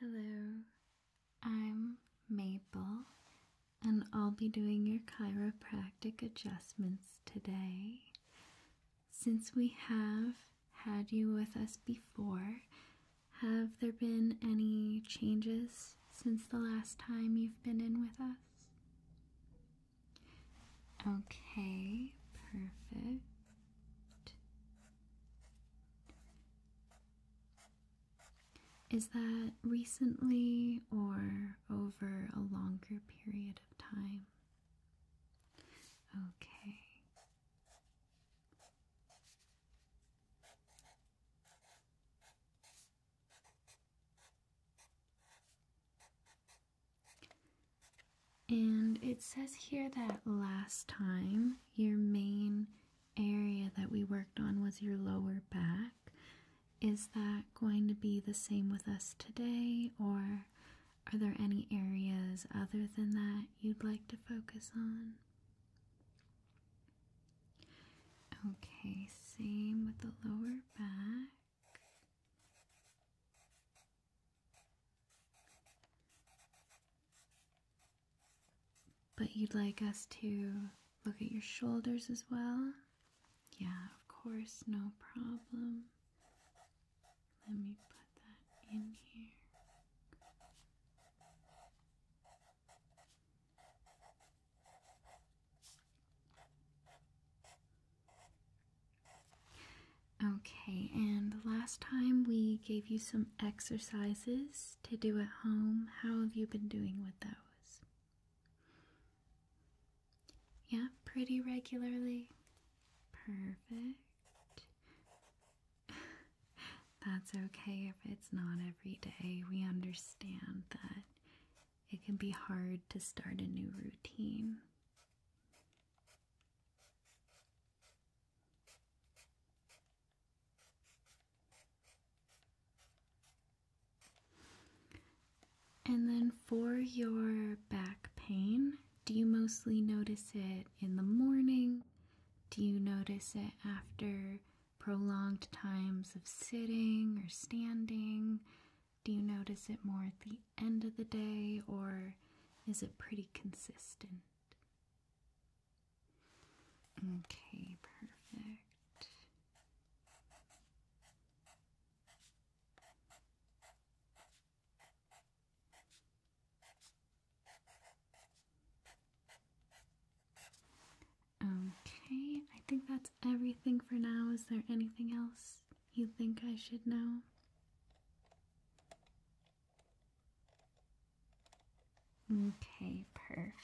Hello, I'm Maple, and I'll be doing your chiropractic adjustments today. Since we have had you with us before, have there been any changes since the last time you've been in with us? Okay, perfect. Is that recently or over a longer period of time? Okay. And it says here that last time your main area that we worked on was your lower back. Is that going to be the same with us today, or are there any areas other than that you'd like to focus on? Okay, same with the lower back. But you'd like us to look at your shoulders as well? Yeah, of course, no problem. Let me put that in here. Okay, and last time we gave you some exercises to do at home. How have you been doing with those? Yeah, pretty regularly. Perfect. That's okay if it's not every day. We understand that it can be hard to start a new routine. And then for your back pain, do you mostly notice it in the morning? Do you notice it after prolonged times of sitting or standing? Do you notice it more at the end of the day or is it pretty consistent? Okay, perfect. Okay, I think that's everything for now. Is there anything else? you think I should know? Okay, perfect.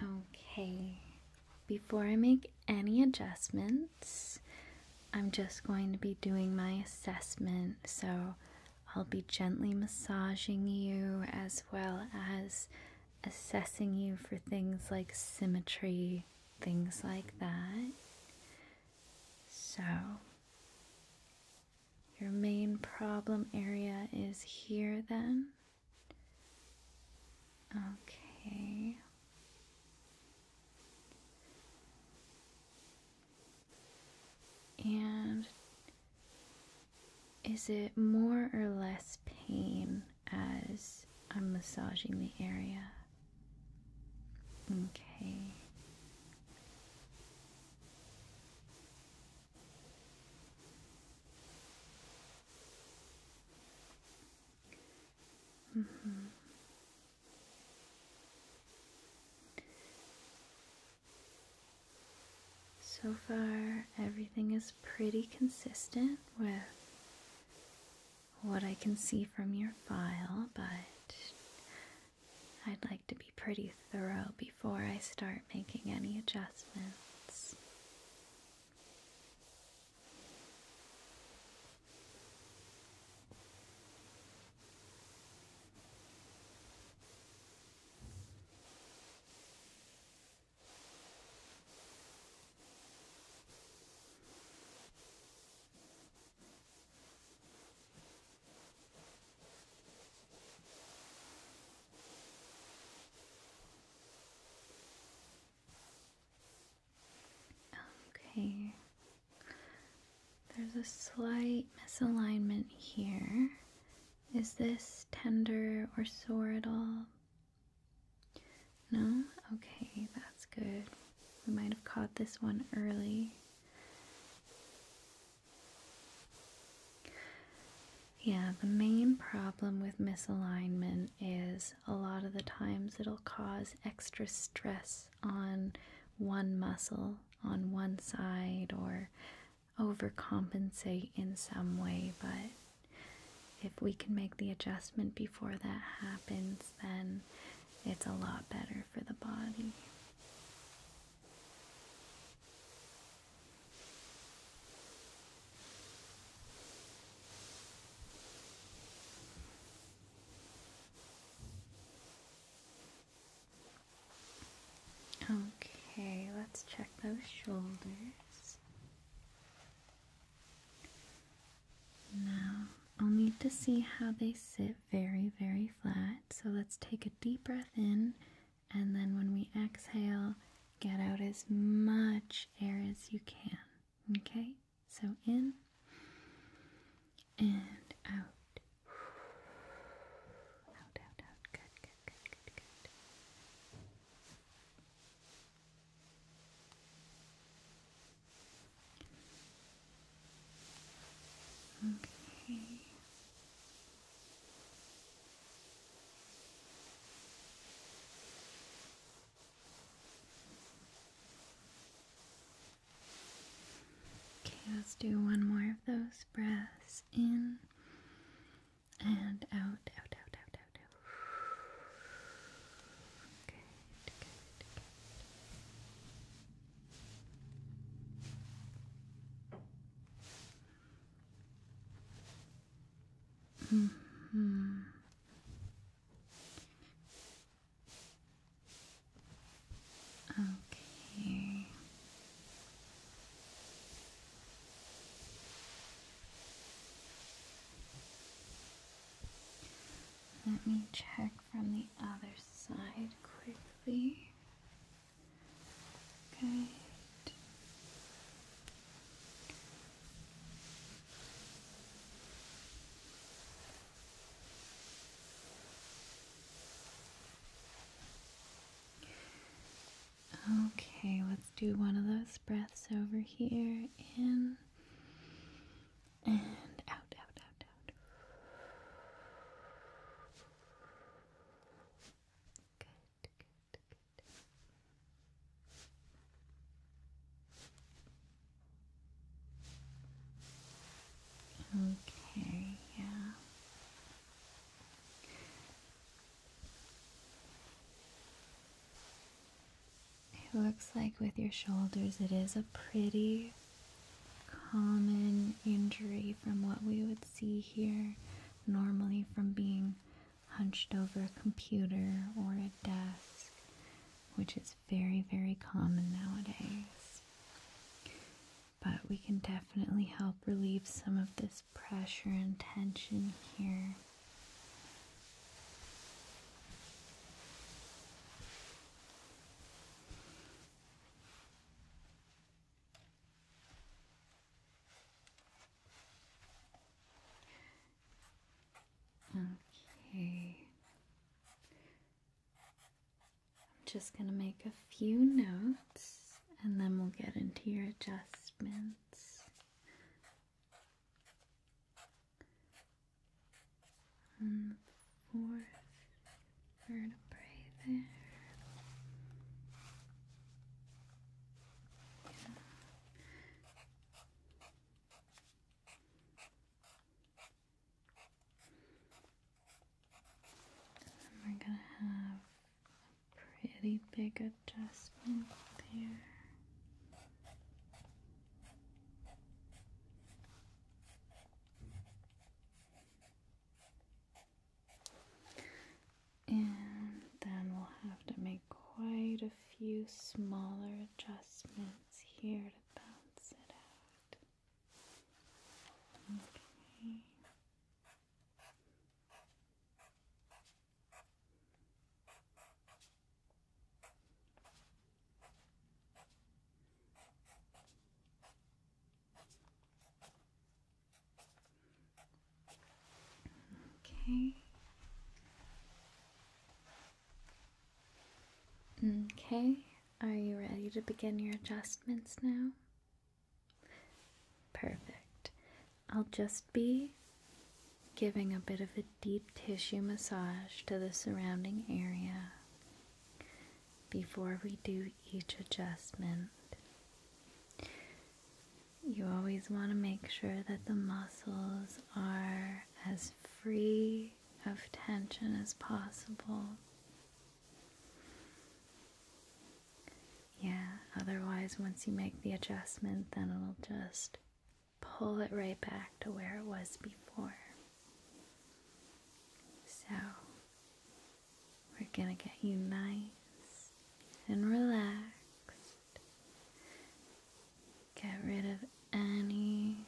Okay, before I make any adjustments, I'm just going to be doing my assessment. So I'll be gently massaging you as well as assessing you for things like symmetry, things like that. So, your main problem area is here then. Okay. And is it more or less pain as I'm massaging the area? Okay. Mm-hmm. So far, everything is pretty consistent with what I can see from your file, but I'd like to be pretty thorough before I start making any adjustments. Okay, there's a slight misalignment here. Is this tender or sore at all? No? Okay, that's good. We might have caught this one early. Yeah, the main problem with misalignment is a lot of the times it'll cause extra stress on one muscle on one side or overcompensate in some way, but if we can make the adjustment before that happens, then it's a lot better for the body. Okay, let's check those shoulders. Now, I'll need to see how they sit very, very flat. So let's take a deep breath in, and then when we exhale, get out as much air as you can. Okay? So in and out. Out, out, out. Good, good, good, good, good. Okay. Okay, let's do one more of those breaths in and out, out, out, out, out, out. Good, good, good. Mm -hmm. Okay. Mm-hmm. Let me check from the other side quickly. Good. Okay, let's do one of those breaths over here. In and out, out, out, out. Good, good, good. Okay, yeah. It looks like with your shoulders, it is a pretty common injury from what we would see here normally from being hunched over a computer or a desk, which is very, very common nowadays. But we can definitely help relieve some of this pressure and tension here. Okay. I'm just going to make a few notes and then we'll get into your adjustments. On the fourth vertebrae there. Yeah. then we're going to have pretty big adjustment there. And then we'll have to make quite a few smaller adjustments here to bounce it out. Okay. Okay. Okay, are you ready to begin your adjustments now? Perfect. I'll just be giving a bit of a deep tissue massage to the surrounding area before we do each adjustment. You always want to make sure that the muscles are as free of tension as possible. Yeah, otherwise, once you make the adjustment, then it'll just pull it right back to where it was before. So, we're gonna get you nice and relaxed. Get rid of any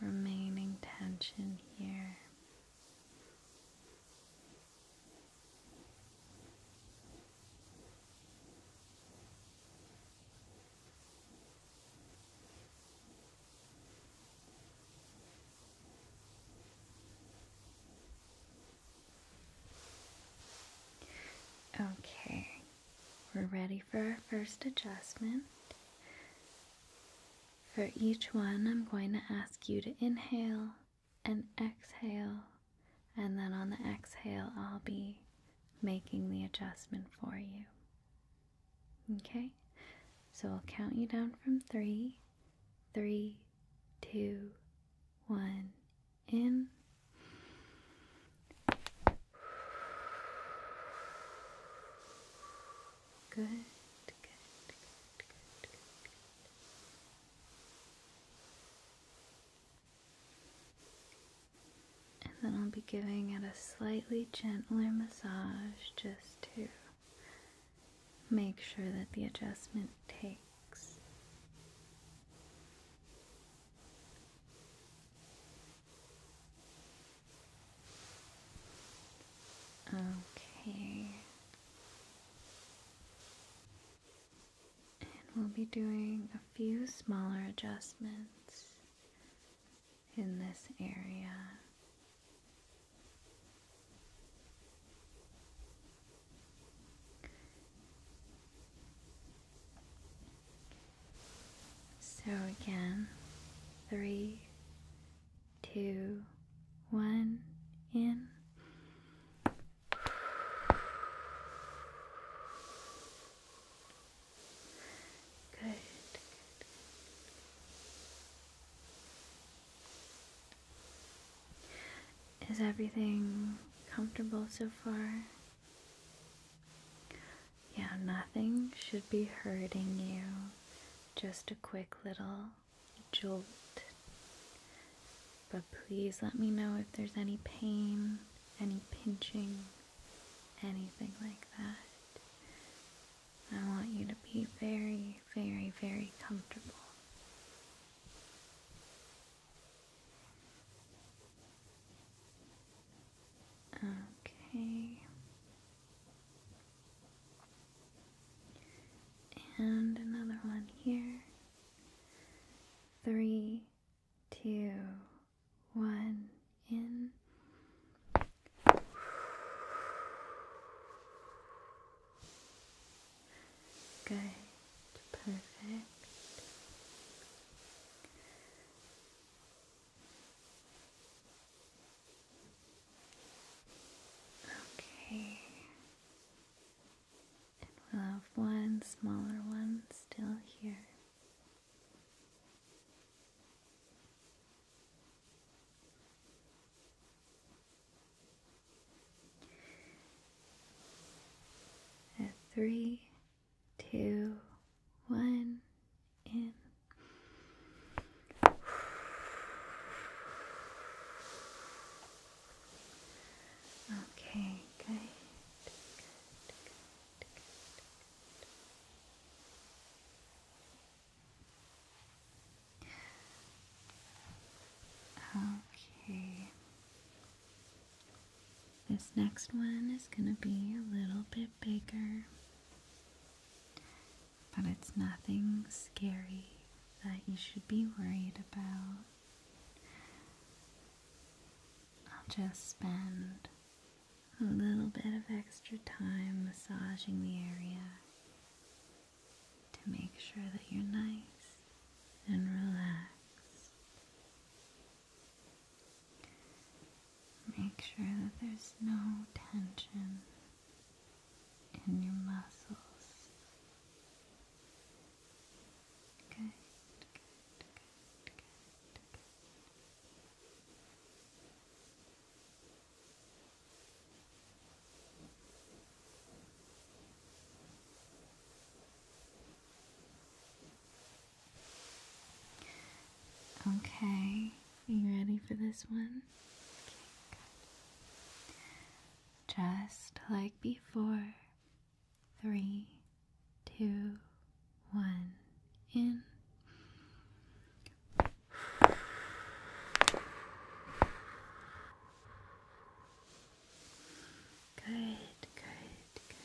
remaining tension here. Okay, we're ready for our first adjustment. For each one, I'm going to ask you to inhale and exhale. And then on the exhale, I'll be making the adjustment for you. Okay? So I'll count you down from three, three, two, one, in. Good, and then I'll be giving it a slightly gentler massage just to make sure that the adjustment takes. Okay, and we'll be doing a few smaller adjustments in this area. So again, three, two, one, in. Good. Is everything comfortable so far? Yeah, nothing should be hurting you. Just a quick little jolt. But please let me know if there's any pain, any pinching, anything like that. I want you to be very, very, very comfortable. Okay. And another one here. Three, two, one, in. Good, perfect. Okay. And we'll have one smaller one still here. At three, two, one, in. Okay, good. Okay. This next one is going to be a little bit bigger but it's nothing scary that you should be worried about. I'll just spend a little bit of extra time massaging the area to make sure that you're nice and relaxed. Make sure that there's no tension in your muscles. Good, Okay, are you ready for this one? Just like before. Three, two, one, in. Good, good, good.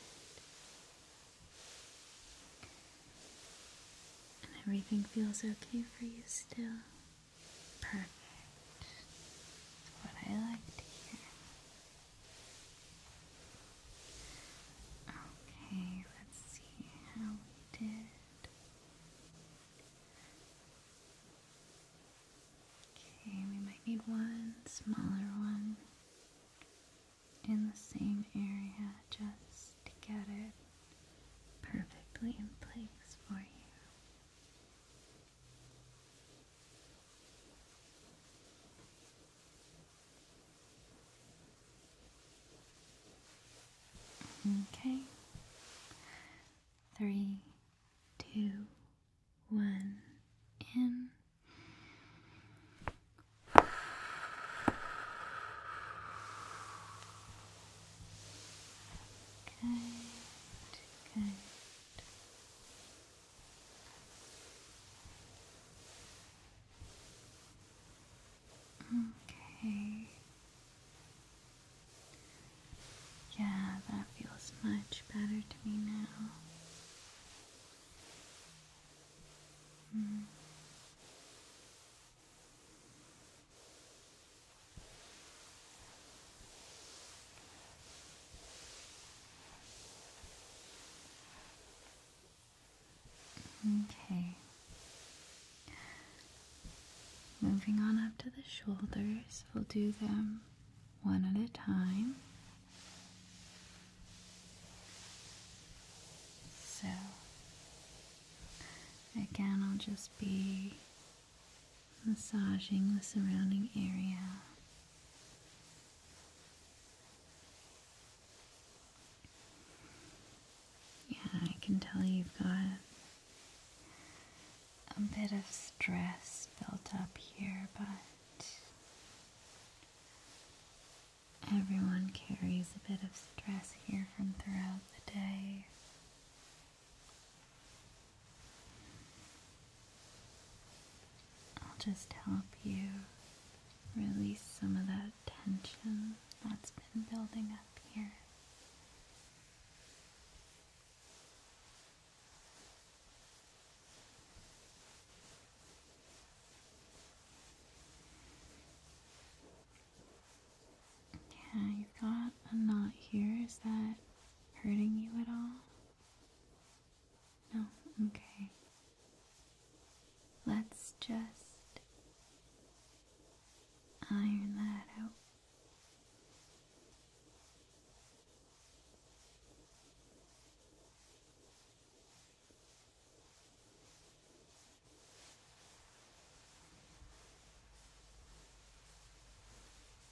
And everything feels okay for you still. Perfect. what I like to hear. Okay, let's see how we did. Okay, we might need one smaller one in the same area just to get it perfectly in place for you. Okay. Three, two, one, in. Good, good. Okay. Yeah, that feels much better to me now. Mm. Okay. Moving on up to the shoulders, we'll do them one at a time. So Again, I'll just be massaging the surrounding area. Yeah, I can tell you've got a bit of stress built up here, but everyone carries a bit of stress here from throughout the day. I'll just help you release some of that tension that's been building up here. Yeah, you've got a knot here. Is that hurting you at all? No? Okay. Let's just iron that out.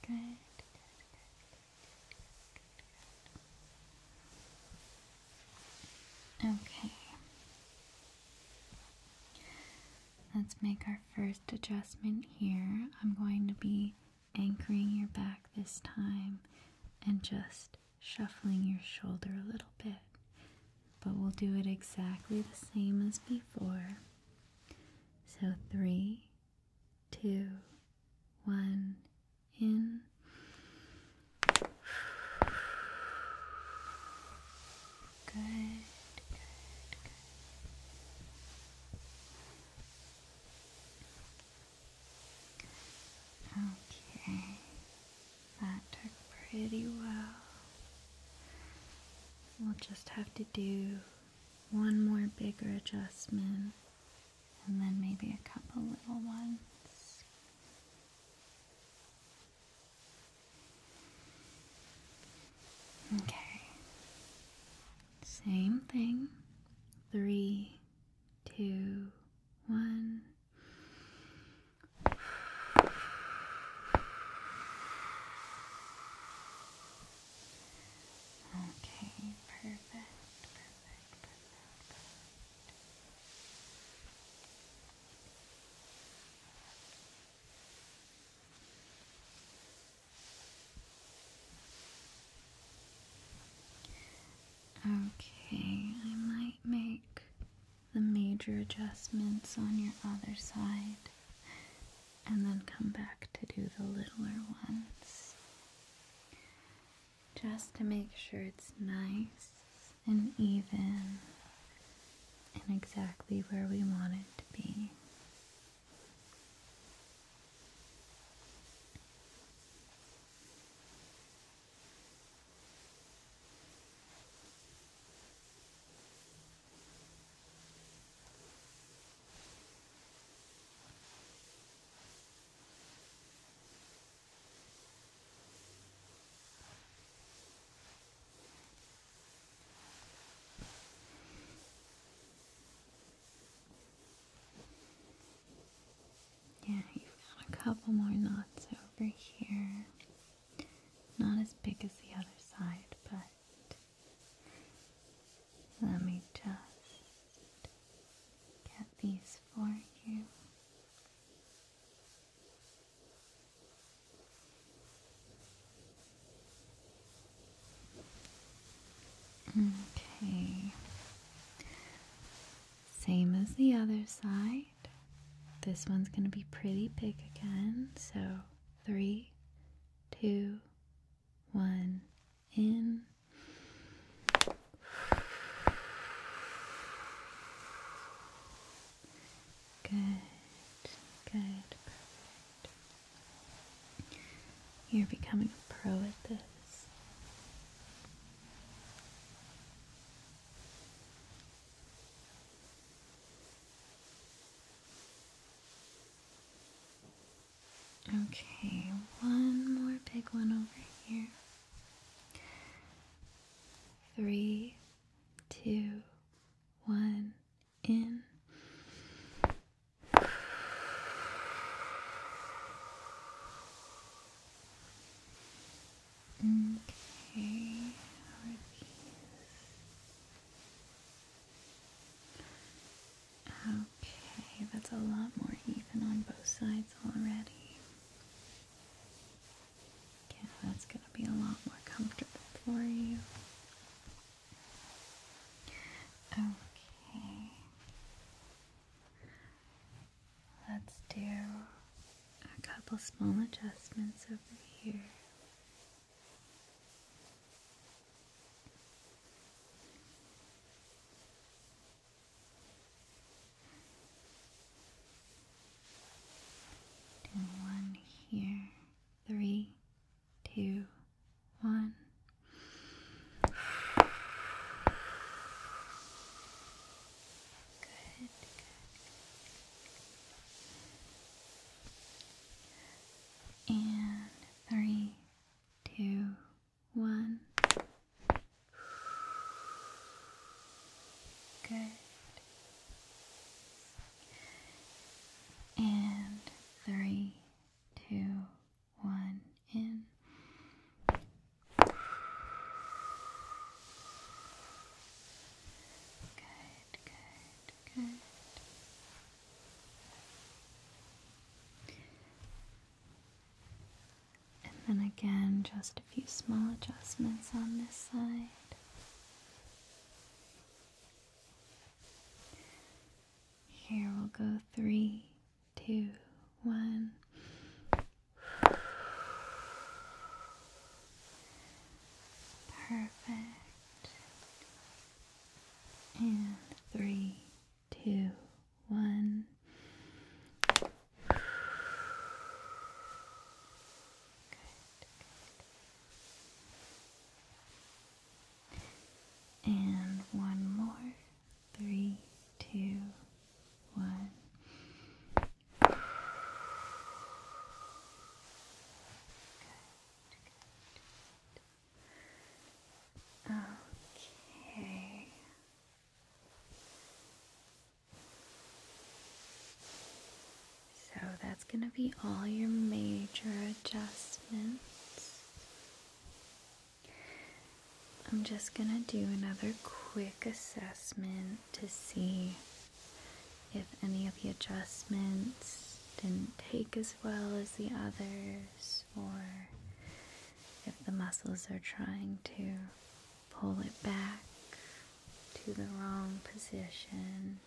Good, Okay. Let's make our first adjustment here. I'm going to be anchoring your back this time and just shuffling your shoulder a little bit but we'll do it exactly the same as before. So three, two, one, in. Good, Okay. That took pretty well. We'll just have to do one more bigger adjustment and then maybe a couple little ones. Okay. Same thing. Three, two, one. Okay, perfect, perfect, perfect, Okay, I might make the major adjustments on your other side and then come back to do the littler ones just to make sure it's nice and even and exactly where we want it to be. Yeah, you've got a couple more knots over here. Not as big as the other side, but let me just get these for you. Okay. Same as the other side. This one's going to be pretty big again. So, three, two, one, in. Good, good, You're becoming a pro at this. Okay, one more big one over here. Three, two, one, in. Okay, Okay, that's a lot more even on both sides already. Okay, that's going to be a lot more comfortable for you. Okay. Let's do a couple small adjustments over here. Do one here. Three, two, one. Good, And three, two, one. Good. And three, two, one, in. Good, good, good. And then again, just a few small adjustments on this side. Here we'll go three, two, one. Perfect. And three, two, one. Good, good. And one more. Three, two, one. Okay. So that's going to be all your major adjustments. I'm just going to do another quick assessment to see if any of the adjustments didn't take as well as the others, or if the muscles are trying to pull it back to the wrong position.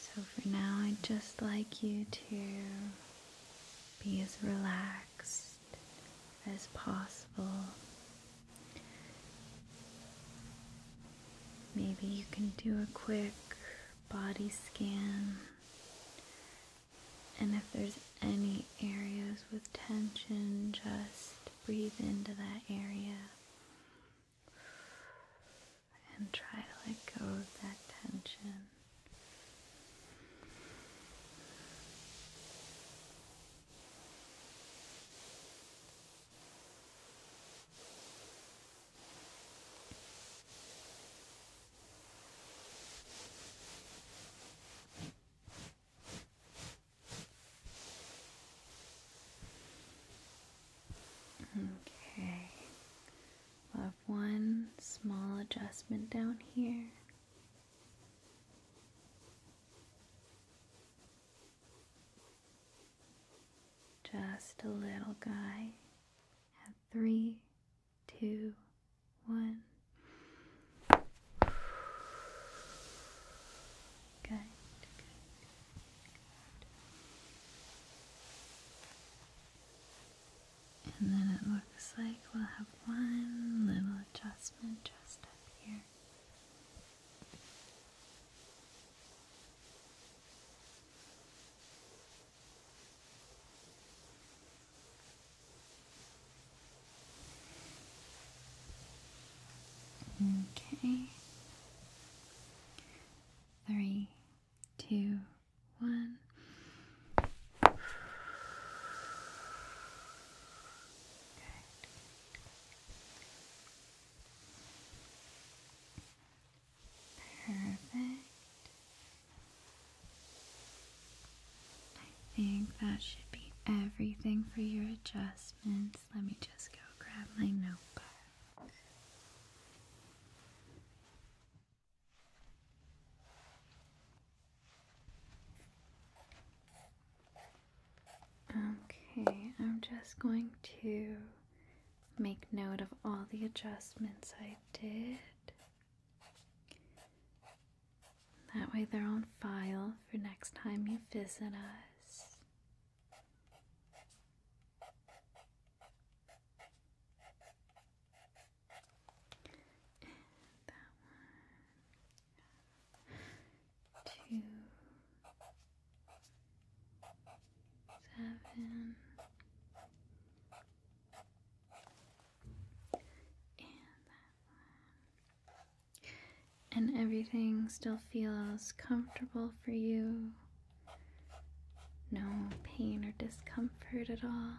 So for now, I'd just like you to be as relaxed as possible. Maybe you can do a quick body scan. And if there's any areas with tension, just breathe into that area and try to let go of that tension. Okay, we have one small adjustment down here. Just a little guy at three, two, one. Good, good, good. And then it looks like we'll have one little adjustment just up here. Okay. Three, two, one. Good. Perfect. I think that should be everything for your adjustments. Let me just go grab my notebook. Okay, I'm just going to make note of all the adjustments I did. That way they're on file for next time you visit us. And that one. And that one. And everything still feels comfortable for you. No pain or discomfort at all.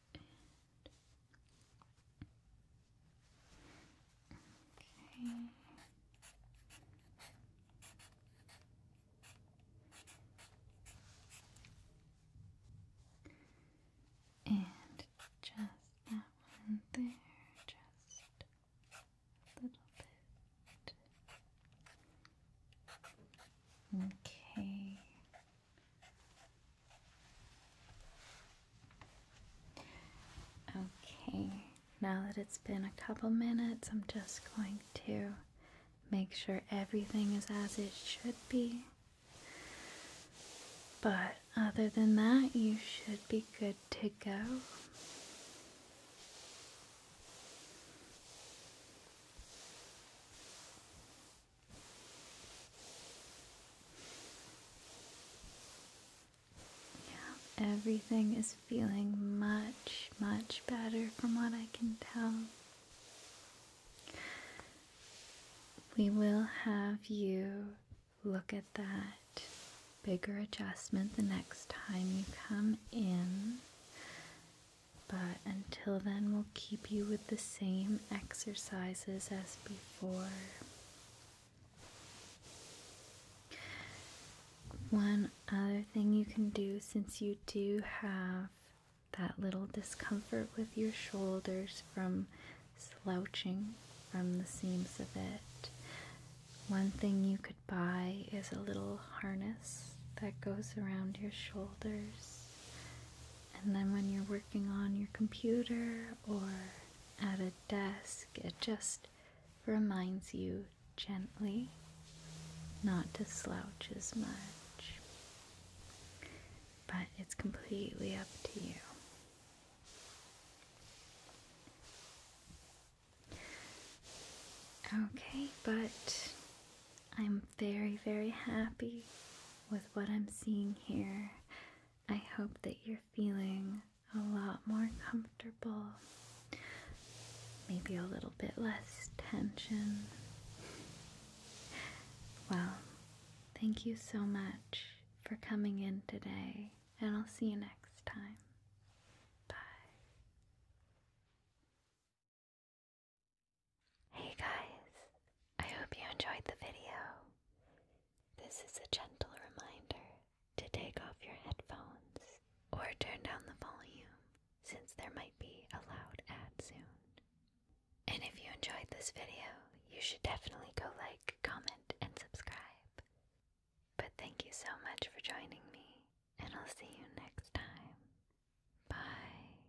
And just that one there, just a little bit. Okay. Okay, now that it's been a couple minutes, I'm just going to make sure everything is as it should be. But other than that, you should be good to go. Yeah, everything is feeling much, much better from what I can tell. We will have you look at that bigger adjustment the next time you come in. But until then, we'll keep you with the same exercises as before one other thing you can do since you do have that little discomfort with your shoulders from slouching from the seams of it. One thing you could buy is a little harness that goes around your shoulders and then when you're working on your computer or at a desk, it just reminds you gently not to slouch as much. But it's completely up to you. Okay, but I'm very, very happy with what I'm seeing here. I hope that you're feeling a lot more comfortable, maybe a little bit less tension. Well, thank you so much for coming in today, and I'll see you next time. Bye. Hey guys, I hope you enjoyed the video. This is a gentle reminder to take off your headphones or turn down the volume since there might be a loud ad soon. And if you enjoyed this video, you should definitely go like, comment, and subscribe. But thank you so much for joining me, and I'll see you next time. Bye.